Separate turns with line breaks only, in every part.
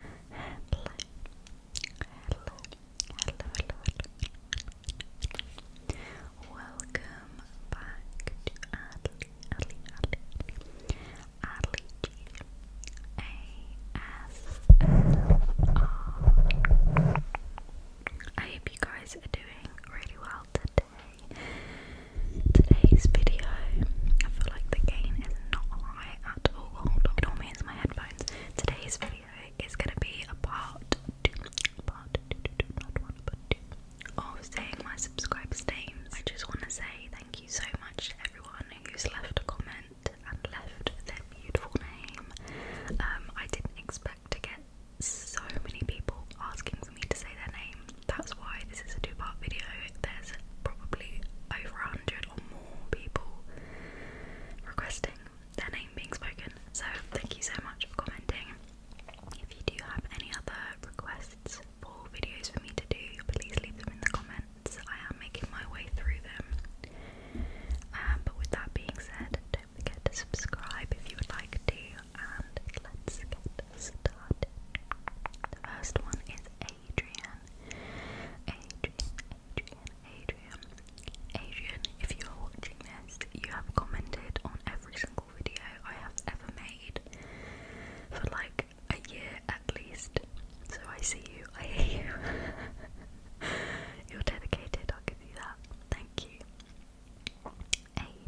hello, hello, hello, hello. Welcome back to Adley, Adley, Adley, Adley I hope you guys are doing really well today. Today's video, I feel like the gain is not high it all means my headphones. Today's video is gonna be a part two, of saying my subscribers' names. I just wanna say thank you so much to everyone who's left a comment and left their beautiful name. Um, I didn't expect to get so many people asking for me to say their name. That's why this is a two-part video. There's probably over a hundred or more more people requesting their name being spoken. So thank you so much for commenting. If you do have any other requests for videos for me to do, please leave them in the comments. I am making my way through them. Um, but with that being said, don't forget to subscribe if you would like to, and let's get started. The first one is Adrian. Adrian, Adrian, Adrian. if you are watching this, you have commented on every single video I have ever made for like a year at least. So I see you, I hear you. You're dedicated, I'll give you that. Thank you. Adrian,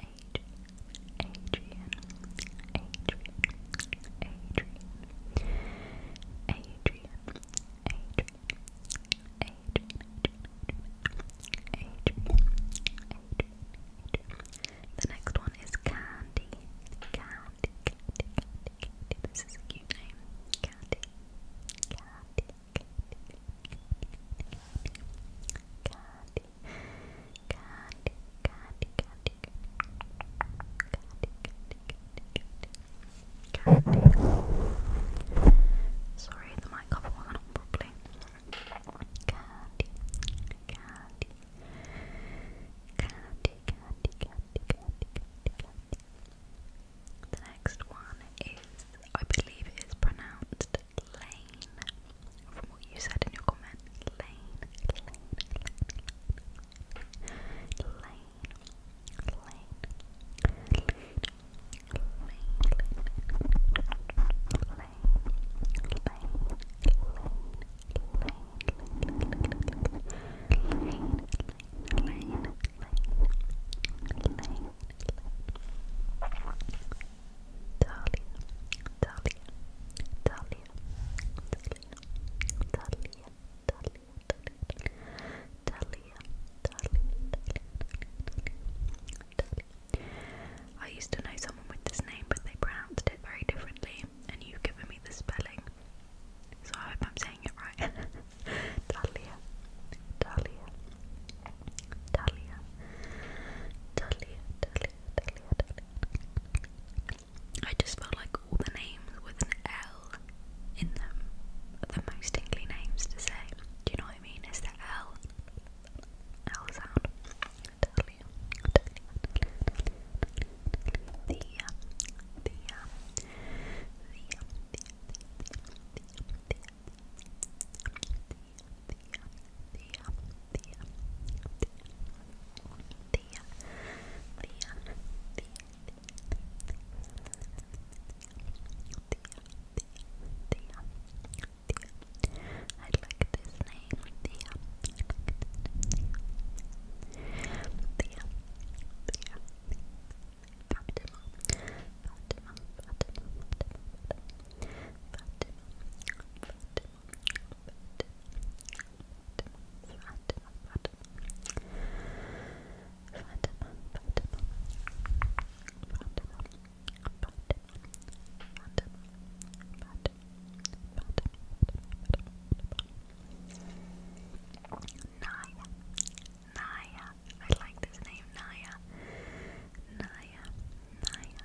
Adrian, Adrian, Adrian, The next one is Candy, Candy, This is a cute name, Candy candy, candy, candy, candy, candy, candy, candy. Sorry, the mic cover wasn't on properly. Candy, candy, candy, candy, candy, candy, The next one is, I believe, it is pronounced lane from what you said in your comment. Lane, lane, lane, lane, lane, lane, lane, lane, lane, lane, lane, lane. Lane, Darling, darling, darling, I used to know someone with this name, but they pronounced it very differently, and you've given me the spelling, so I hope I'm saying it right. Talia, Talia, Talia, Talia, Talia, Talia, Talia, I just felt like all the names with an L in them are the most tingly names to say. Do you know what I mean? It's the L. L sound. Totally. The, the, the, the, the, the, the, the, I like this name, Thea. Thea. Thea. Fatima. Fatima. Fatima. Naya, Naya, I like this name, Naya, Naya, Naya, Naya,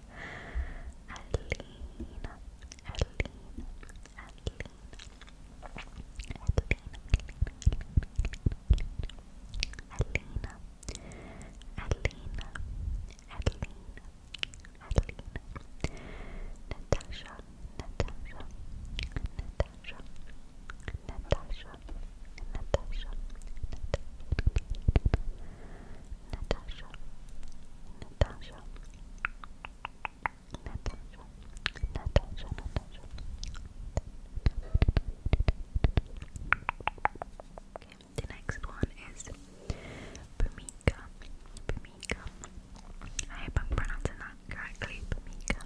Adelina, Adelina, Adelina, Adelina, Adelina, Adelina, Adelina, Natasha, Natasha, Natasha, Natasha, Natasha, Natasha, Natasha, Natasha, Natasha, Natasha, Natasha. the next one is Bumika, Bumika. I hope I'm pronouncing correctly. Bumika,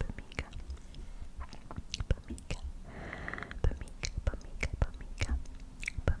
Bumika, Bumika, Bumika, Bumika, Bumika, Bumika,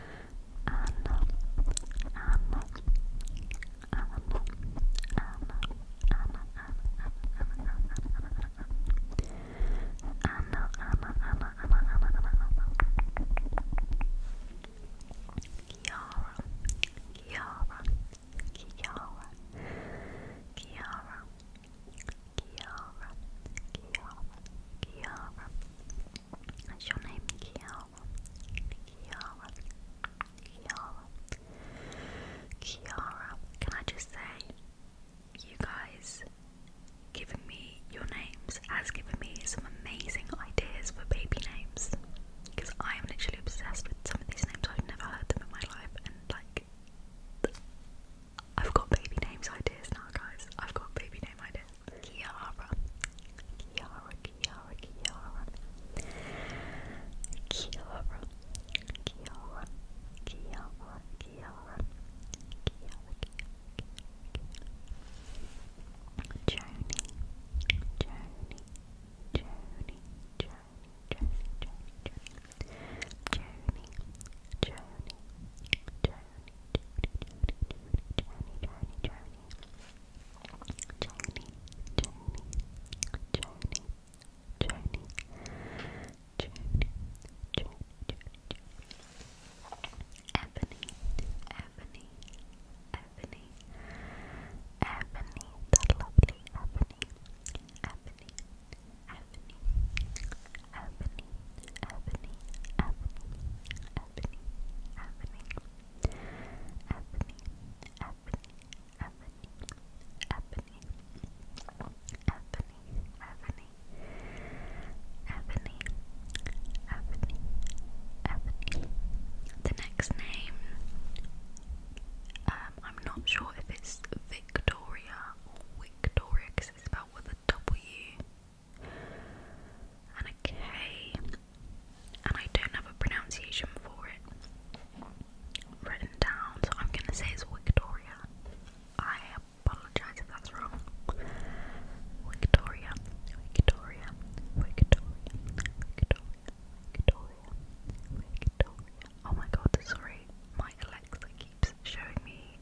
Anna, Anna, Anna, Anna, Anna, Anna, Anna, Anna, Anna, Anna, Anna, Kiara, Kiara, Kiara, Kiara, Kiara, Kiara, Kiara. That's your name, Kiara, Kiara, Kiara, Kiara. Can I just say, you guys giving me your names has given me some amazing ideas for baby names because I am literally obsessed with some of these names. I've never heard them in my life, and like. I've got baby names ideas now, guys. I've got baby name ideas. Kiara. Kiara, Kiara, Kiara. Kiara. Kiara. Kiara. Kiara. Kiara. Joni. Joni. Joni. Joni. Joni. Joni. Joni. Joni. Joni. Journey, journey, journey, journey, journey, journey, Ebony, Ebony, Ebony, Ebony, the lovely Ebony, Ebony, Ebony, Ebony, Ebony, Ebony, Ebony, Ebony, Ebony, Ebony, Ebony, Ebony, Ebony, Ebony, Ebony, Ebony, Ebony, The next name, um, I'm not sure if it's Victoria or Victoria because it's spelled out with a W and a K, and I don't have a pronunciation for it written down, so I'm gonna say it's Victoria. I apologize if that's wrong. Victoria, Victoria, Victoria, Victoria, Victoria, Victoria. Oh my god, sorry, my Alexa keeps showing me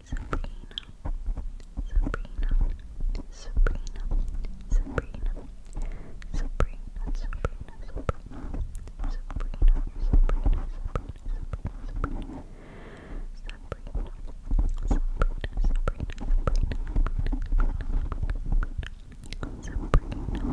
Sabrina, Sabrina, Sabrina, Sabrina, Sabrina, Sabrina, Sabrina, Sabrina, Sabrina, Sabrina, Sabrina, Sabrina, Sabrina,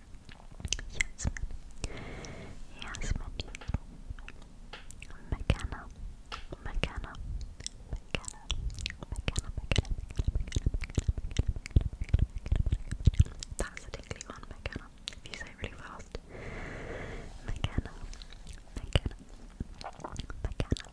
Yasmin, Yasmin, McKenna, McKenna, McKenna, McKenna, McKenna, McKenna, That's a tickly one, McKenna. If you say it really fast, McKenna, McKenna, McKenna, McKenna,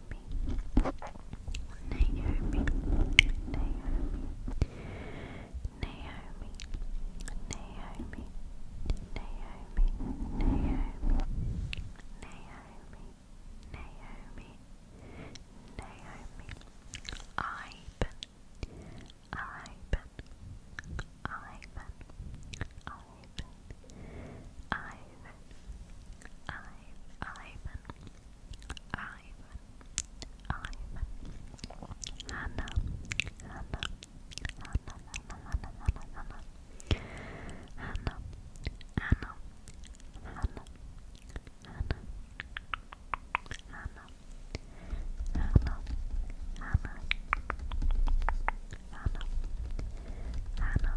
Naomi, Naomi, Naomi, Naomi, Naomi, Naomi, Naomi, Naomi, Naomi, Ivan, Ivan, Ivan, Ivan, Ivan, Ivan, Ivan, Ivan, Ivan, Hannah, Hannah, Hannah, Hannah, Hannah, Hannah, Hannah, Hannah, Hannah, Hannah, Hannah, Hannah, Hannah, Hannah, Hannah, Hannah,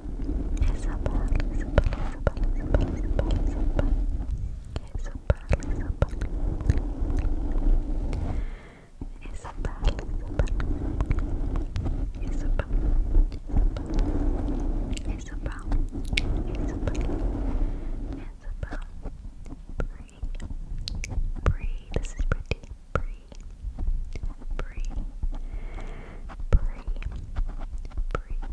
Isabel, Isabel, Isabel, Isabel, Isabel, Isabel, Isabel, Isabel, Isabel, Isabel, Isabel, Isabel, Isabel, Bree, Bree, this is pretty, Bree, Bree, Bree, Bree,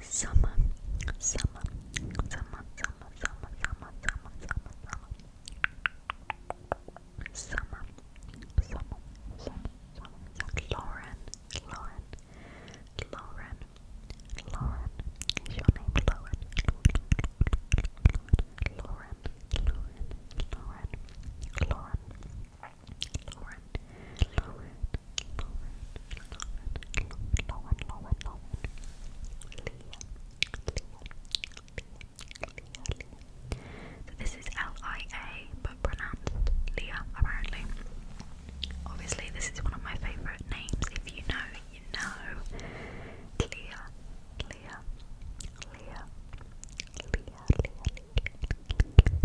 summer, summer, summer, summer, summer, summer, summer, summer, summer, summer, summer, summer, summer, Lauren, Lauren, Lauren, Lauren, is your name Lauren? Lauren, Lauren, Lauren, Lauren, Lauren, So this is L-I-A, but pronounced Leah, apparently. Obviously, this is one of my favourite names. If you know, you know. Leah, Leah, Leah, Leah, Leah, Leah,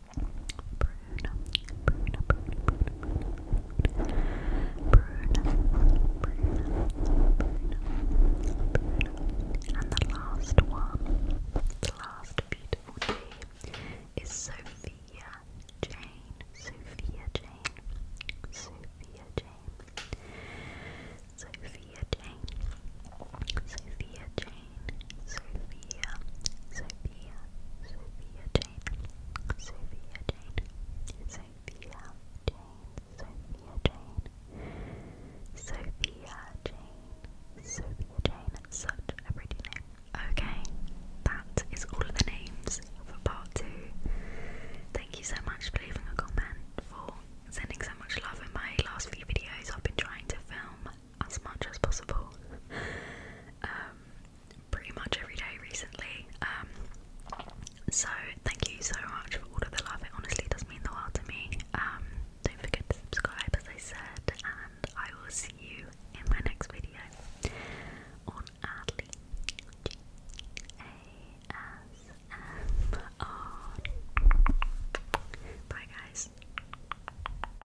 Bruno, Bruno, and the last one, the last beautiful name is Sophia Jane, Sophia Jane, Sophia Jane, Sophia Jane, Sophia Jane, Sophia. Sophia, Jane, Sophia Jane, Sophia Jane, Sophia Jane, Sophia Jane, Sophia Jane. such a pretty name. Okay, that is all the names for part two. Thank you so much for leaving a comment for sending so much love in my last few videos. I've been trying to film as much as possible. Um, pretty much every day recently. Um, so thank you so much for all of the love. It honestly does mean the world to me. Um, don't forget to subscribe, as I said, and I will see you in my next video on Adley G A S M R. Bye, guys.